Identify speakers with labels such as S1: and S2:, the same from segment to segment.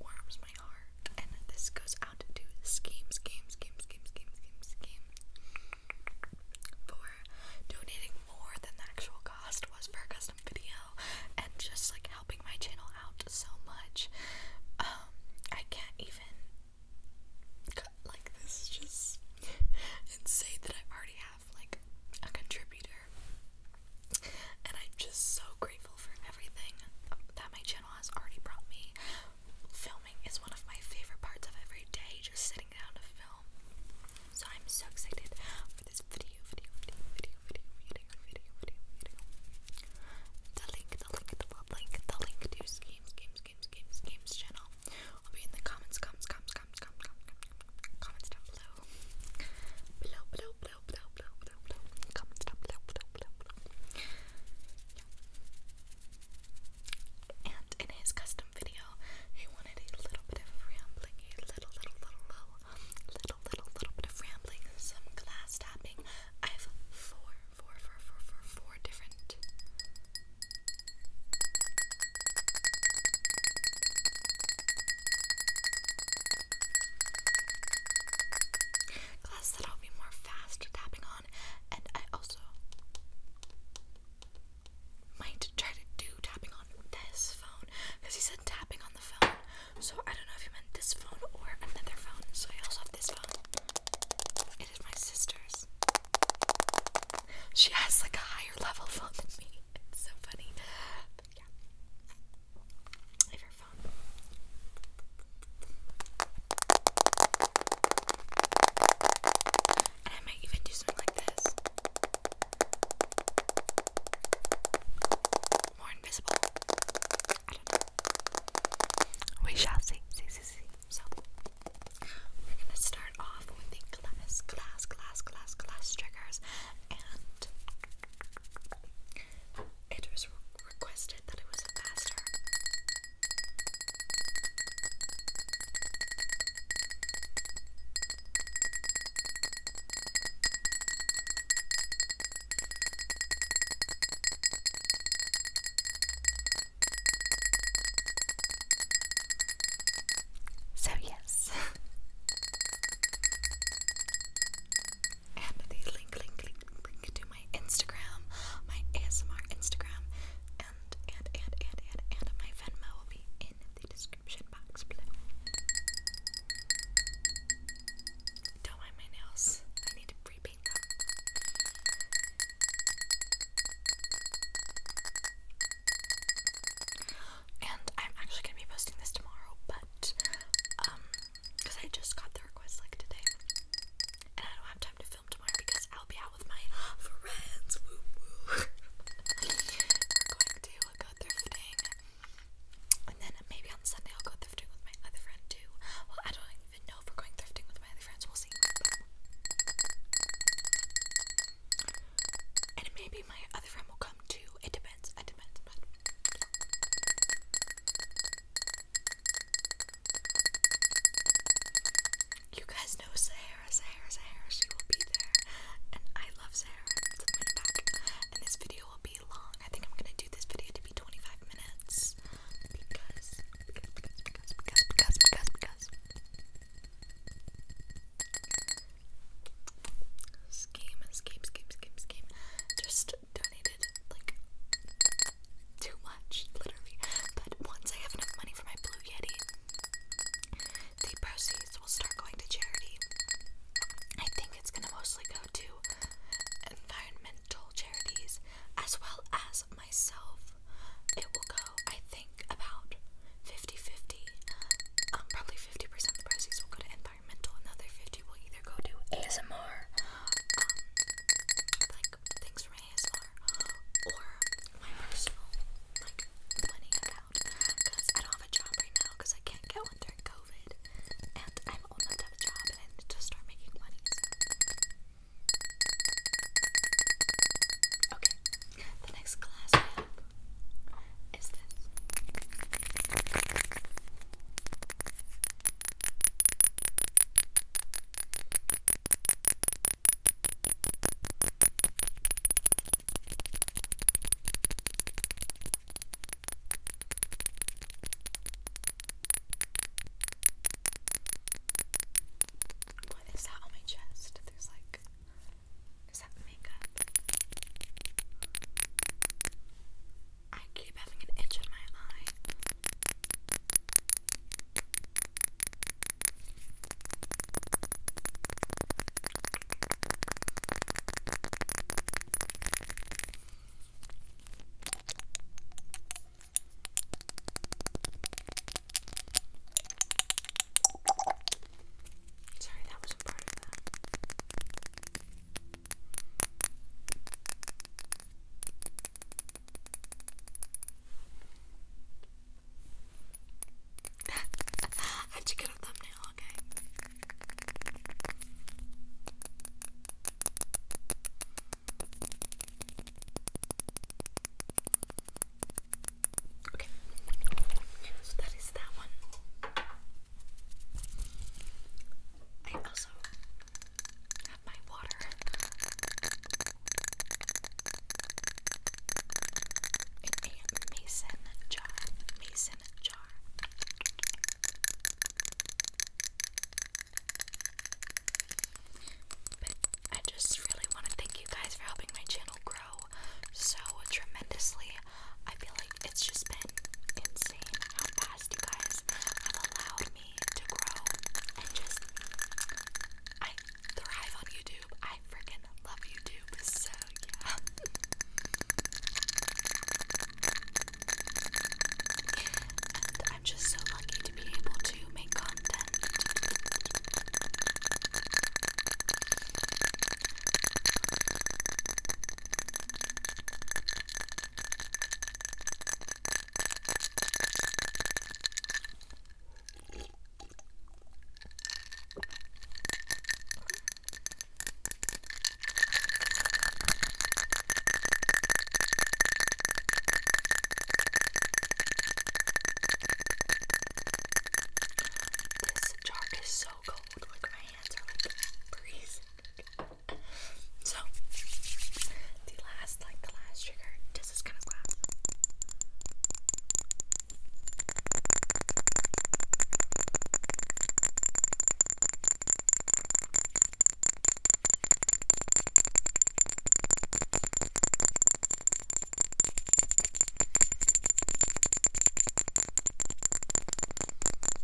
S1: warms my heart. And this goes out to Scheme, Scheme, Scheme, Scheme, Scheme, Scheme, Scheme for donating more than the actual cost was for a custom video and just like helping my channel out so much. Um, I can't even like this is just insane that I already have like a contributor and I'm just so grateful for everything that my channel has already brought me. Filming is one of my favorite parts of every day, just sitting down to film. So I'm so excited for this video, video, video, video, video, video, video, video, video. The link, the link, the link, the link to Schemes, Games, Games, Games, Games channel will be in the comments, comments, comments, comments, comments, comments, comments down below. Below, below, and in his custom video, he wanted a little bit of rambling, a little, little, little, little, little, little, bit of rambling, some glass tapping. I have four, four, four, four, four, four different. Glass that I'll be more fast tapping on, and I also might try to do tapping on this phone because he said tapping on the phone. So I don't know if you meant this phone or another phone. So I also have this phone. It is my sister's. She has like a higher level phone than me. It's so funny. But yeah. We shall see. see. So, we're gonna start off with the glass, glass, glass, glass, glass triggers, and it was requested that it was a faster. So, yes, and the link, link, link, link to my Instagram, my ASMR Instagram, and, and, and, and, and, and my Venmo will be in the description box below. Don't mind my nails. I need to repaint them and I'm actually gonna be posting this tomorrow, but um, because I just got the request like today, and I don't have time to film tomorrow because I'll be out with my friends. We're going to go thrifting, and then maybe on Sunday I'll go thrifting with my other friend too. Well, I don't even know if we're going thrifting with my other friends. We'll see. And maybe my other friend will come too. It depends. It depends. You guys know Sahara, Sahara, Sahara. She will be there, and I love Sahara. So I'm gonna back, and this video will be long. I think I'm gonna do this video to be 25 minutes because, because, because, because, because, because, because scheme, scheme, scheme, scheme, scheme just donated like too much, literally. But once I have enough money for my Blue Yeti, the proceeds will start going to charity. I think it's gonna mostly go to environmental charities as well as myself. It will go, I think, about 50 50. Um, probably 50% of the proceeds will go to Another 50 will either go to ASMR, um, like things from ASMR, or my personal like money account. Because I don't have a job right now because I can't get one during COVID, and I'm old have a job and I need start making money. Okay, the next class is this. What is that on my chest? There's like, is that makeup? I keep having an itch in my eye. Sorry, that was part of that. I have to get a thumbnail, okay? Okay, so that is that one. I also have my water. In a mason jar. Mason jar. I just really want to thank you guys for helping my channel grow so tremendously. I feel like it's just been insane how fast you guys have allowed me to grow and just I thrive on YouTube. I freaking love YouTube, so yeah. I'm just so lucky to be able to make content. This jar is so cold, like my hands are like freezing. So the last like the last trigger does this kind of clap.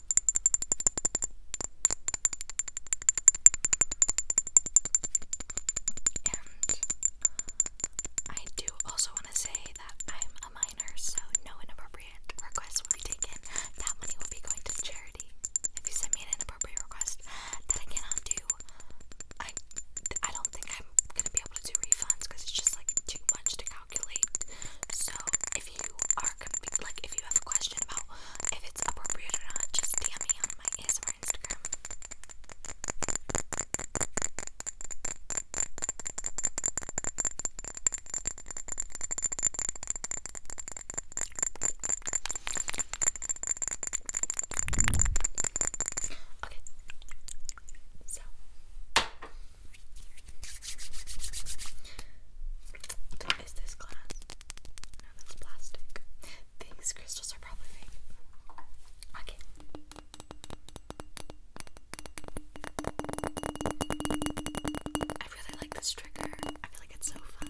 S1: And I do also want to say that I'm a minor, so no inappropriate requests will be taken. That money will be going to charity. If you send me an inappropriate request that I cannot do, I I don't think I'm gonna be able to do refunds because it's just like too much to calculate. So if if you are like if you have a question about if it's appropriate or not, just DM me on my Instagram. Okay. So what is this glass? No, that's plastic. These crystals are probably fake. Okay. I really like this trigger. I feel like it's so fun.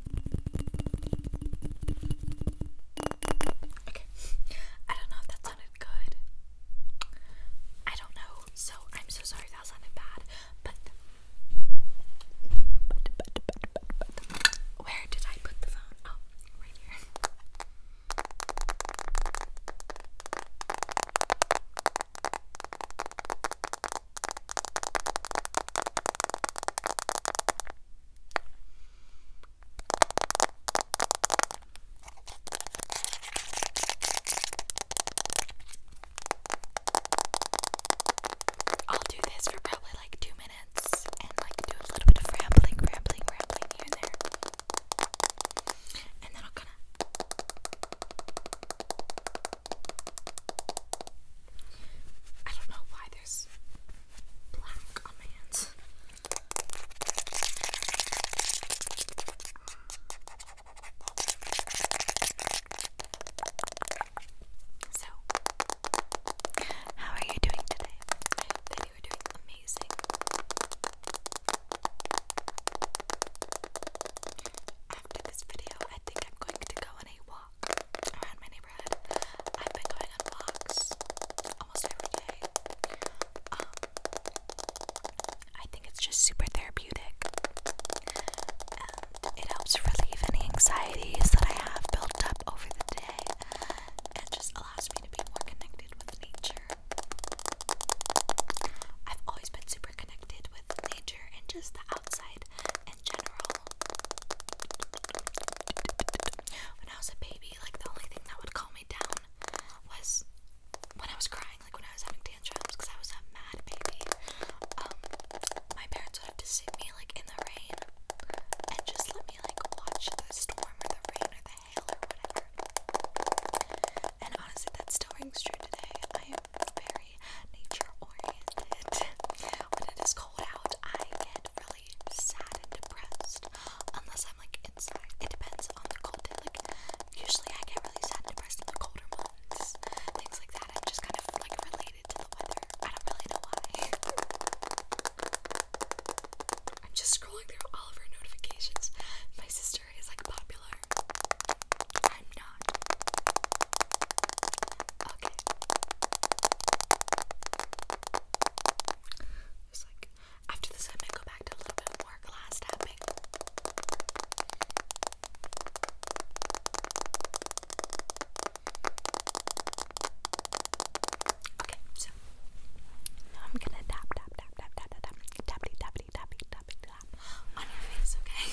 S1: Okay. I don't know if that sounded good. I don't know, so I'm so sorry that sounded bad. But, but, but, but, but, where did I put the phone? Oh, right here. I'll do this for probably like two minutes and like do a little bit of rambling, rambling, rambling here and there. And then I'll kind of I don't know why there's black on my hands. So, how are you doing today? you are doing amazing. After this video, I think I'm going to go on a walk around my neighborhood. I've been going on almost every day. Um, I think it's just super therapeutic, it helps relieve any anxieties that I have built up over the day, and just allows me to be more connected with nature. I've always been super connected with nature and just the outside in general, when I was a baby, like the only thing that would calm me down was when I was crying, like when I was having tantrums, I was a mad baby. Um, my parents would have to sit me like in the rain and just let me like watch the storm or the rain or the hail or whatever. And honestly, that still rings true today. I very nature oriented. When it is cold out, I get really sad and depressed. Unless I'm like inside. It depends on the cold Like, usually I get really sad and depressed in the colder months. Things like that. i just kind of like related to the weather. I don't really know why. I'm just scrolling through all of her notifications. My sister is like popular. I'm Okay. It's like after this, I go back to a little bit more glass tapping. Okay, so I'm gonna tap, tap, tap, tap, tap, tap, tap, tappity, tappity, tappity, tappity, tap on your face, okay?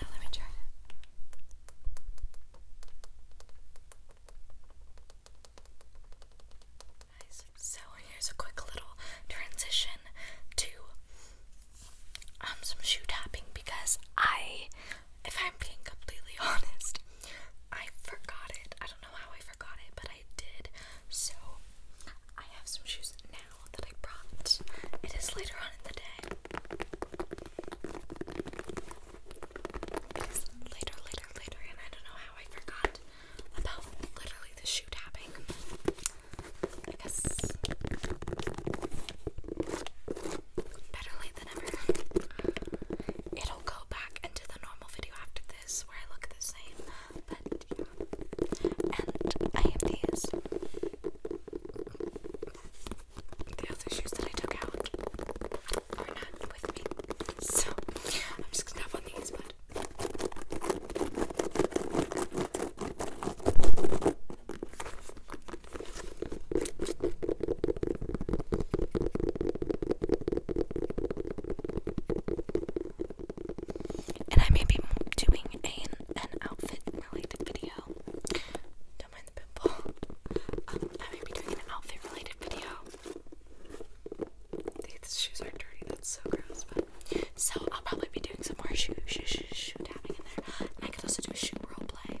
S1: Now let me try it. So here's a quick little transition to um some shoe tapping because I, if I'm being completely honest, I forgot it. I don't know how I forgot it, but I did. So I have some shoes now that I brought. It is later on in the day. It's later, later, later, and I don't know how I forgot about literally the shoe tapping. I guess better late than ever. It'll go back into the normal video after this where I look the same. But And I have these. The other shoes that I took out are not with me. So I'm just gonna have on these, and I may be doing a, an outfit related video. Don't mind the pimple. Um, I may be doing an outfit related video. These shoes are dirty, that's so gross. But so I'll probably be doing some more shoe shoe shoe shoe tapping in there. I could also do a shoe role play.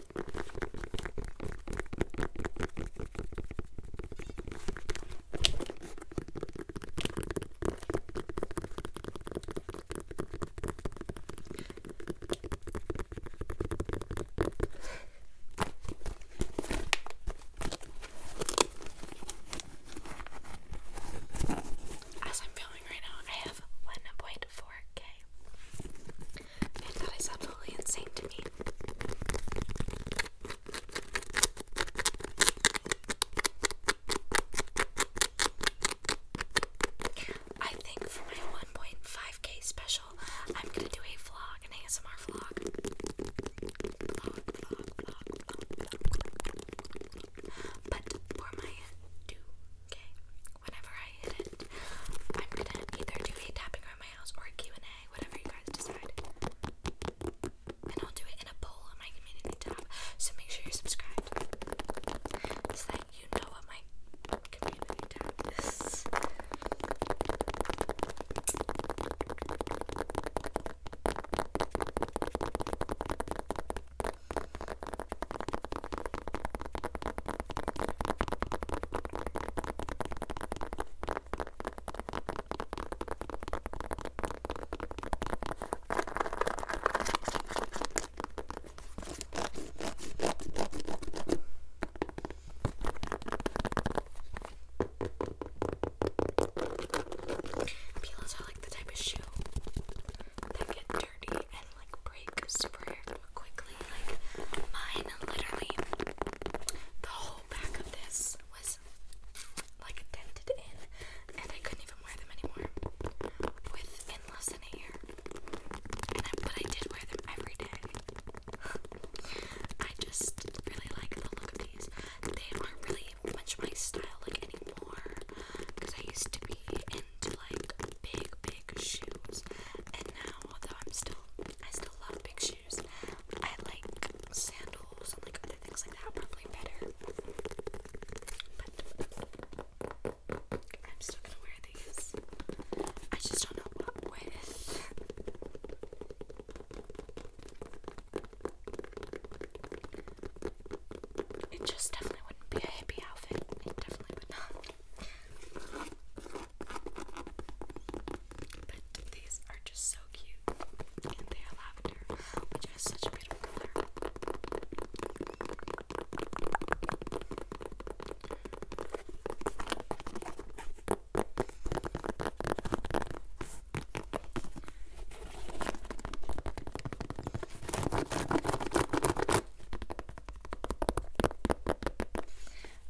S1: As I'm feeling right now, I have 1.4k that is absolutely insane to me. I think for my 1.5k special, I'm gonna do a vlog, an ASMR vlog. But for my 2k whenever I hit it, I'm gonna either do a tapping around my house or a Q&A, whatever you guys decide. And I'll do it in a poll on my community tab, so make sure you're subscribed. So that you know what my community tab is. Peelers are like the type of shoe that get and like break super quickly. Like mine, literally, the whole back of this was like dented in, and I couldn't even wear them anymore within less than a year. but I did wear them every day. I just really like the look of these. They aren't really much my style like anymore because I used to be in like big, big shoes. And now, although I'm still, I still love big shoes. I like sandals and like other things like that probably better. But I'm still gonna wear these. I just don't know what with. It just definitely wouldn't be a hippie outfit. It definitely would not. But these are just so cute. And they are lavender, which has such a beautiful color.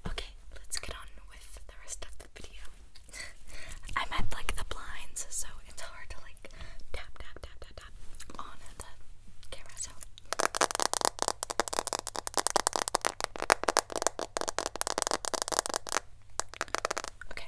S1: Okay, let's get on with the rest of the video. I'm at like the blinds, so it's hard to like tap tap tap tap tap on the camera. So. Okay.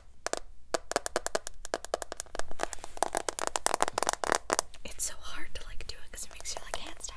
S1: It's so hard to like do it because it makes your like hands tired.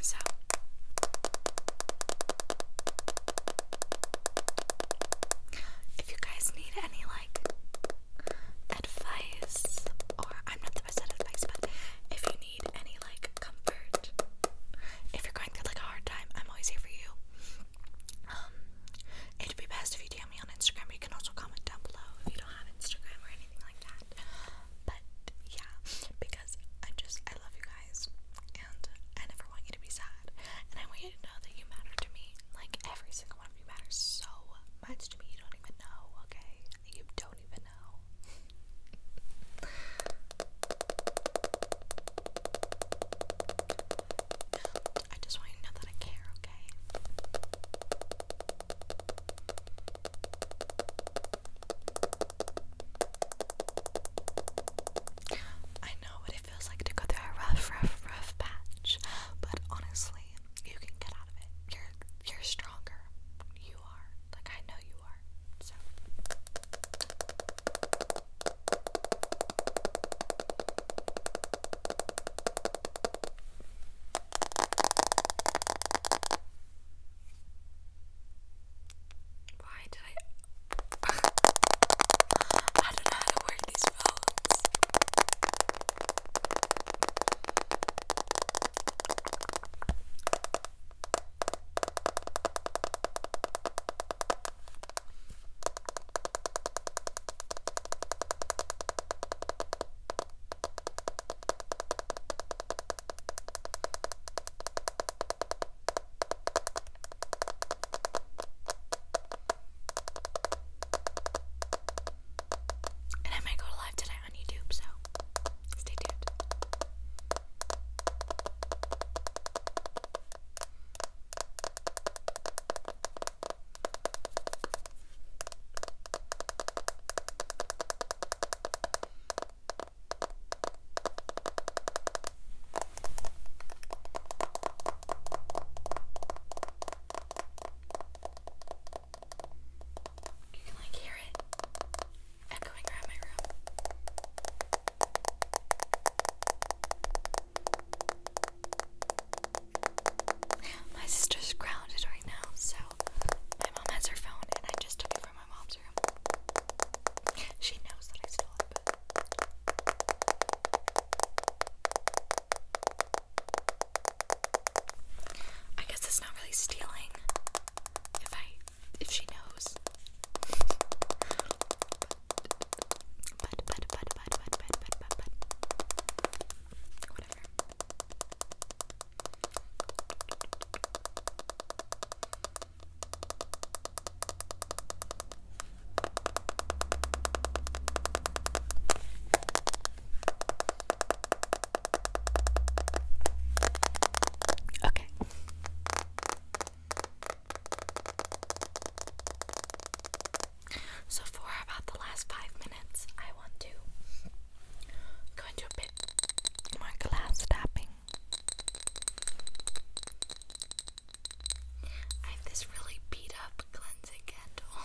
S1: So if you guys need any like advice or I'm not the best at advice, but if you need any like comfort, if you're going through like a hard time, I'm always here for you. Um, it'd be best if you DM me on Instagram. You can also comment down below if you don't have Instagram or anything like that. But yeah, because I just I love you guys, and I never want you to be sad, and I want you to know that you matter to me. Like every single one of you matters so much to me. You don't even know, okay? You don't even know. I just want you to know that I care, okay? I know what it feels like to go through a rough, rough, rough patch, but honestly, you can get out of it. You're you're stronger. You are. Like I know you are. So why did I? I don't know how to work these phones. And I might go live today on YouTube, so stay tuned. You can like hear it echoing around my room. My sister's grounded right now, so my mom has her phone, and I just took it from my mom's room. She knows that I stole it, but. I guess it's not really stealing if I if she knows but, but, but, but, but, but, but, but, but, whatever. Okay. So for about the last five minutes, I want to go into a bit more glass tapping. I have this really beat up cleansing candle.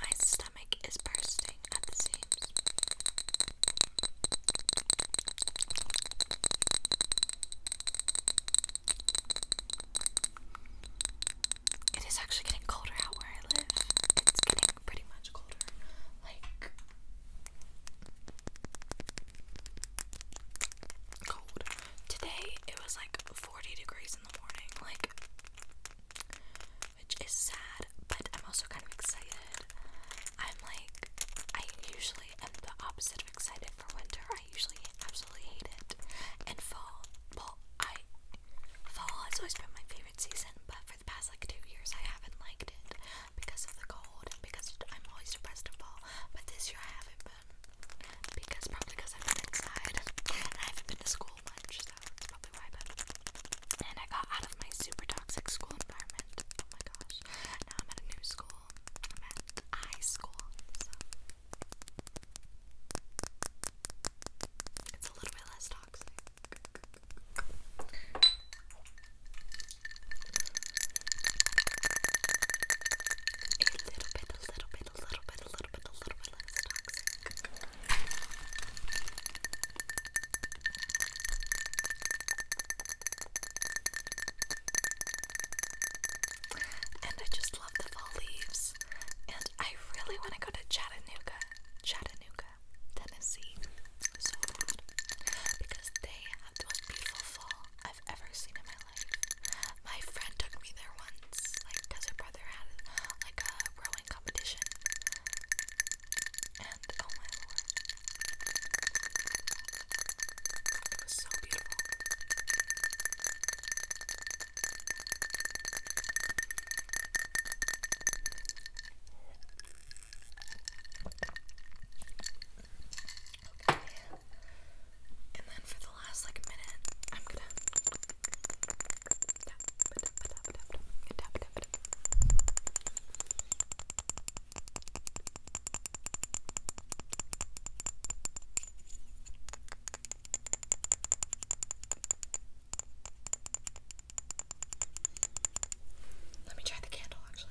S1: My stomach is bursting. It is actually getting colder out where I live. It's getting pretty much colder. Like cold. Today it was like 40 degrees in the morning. Like which is sad, but I'm also kind of excited. I'm like, I usually am the opposite of excited for winter. I usually absolutely hate it. And fall, well, I fall has always been my favorite season, but for the past like two years, I haven't liked it because of the cold and because I'm always depressed in fall. But this year, I haven't been because probably because I've been inside and I haven't been to school much, that's probably why. But and I got out of my super toxic school environment. Oh my gosh! Now I'm at a new school. I'm at high school, so it's a little bit less toxic. A little bit, a little bit, a little bit, a little bit, a little bit less toxic. And I just love the fall leaves. And I really want to go to Chattanooga, Chattanooga, Tennessee, so bad because they have the most beautiful fall I've ever seen in my life. My friend took me there once, like, cause her brother had like a rowing competition, and oh my lord, it was so beautiful. Okay. And then for the last like minute, I'm gonna let me try the candle actually.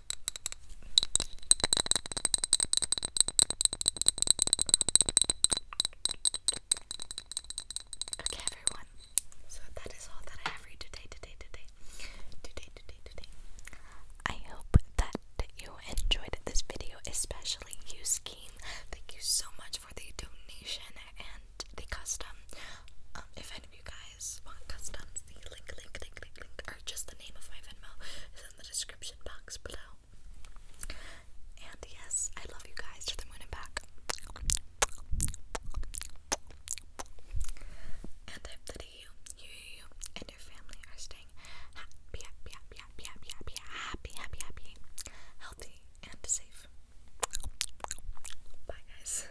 S1: Okay, everyone. So that is all that I have for today, today, today, today, today, today. I hope that you enjoyed this video, especially you, Scheme. Thank you so much for the donation and the custom. Um, if any of you guys guys want customs, the link, link, link, link, link, or just the name of my Venmo is in the description box below. And yes, I love you guys to the moon and back. And I that you, you, and your family are staying happy, happy, happy, happy, happy, happy, happy, happy, happy, healthy, and safe. Bye, guys.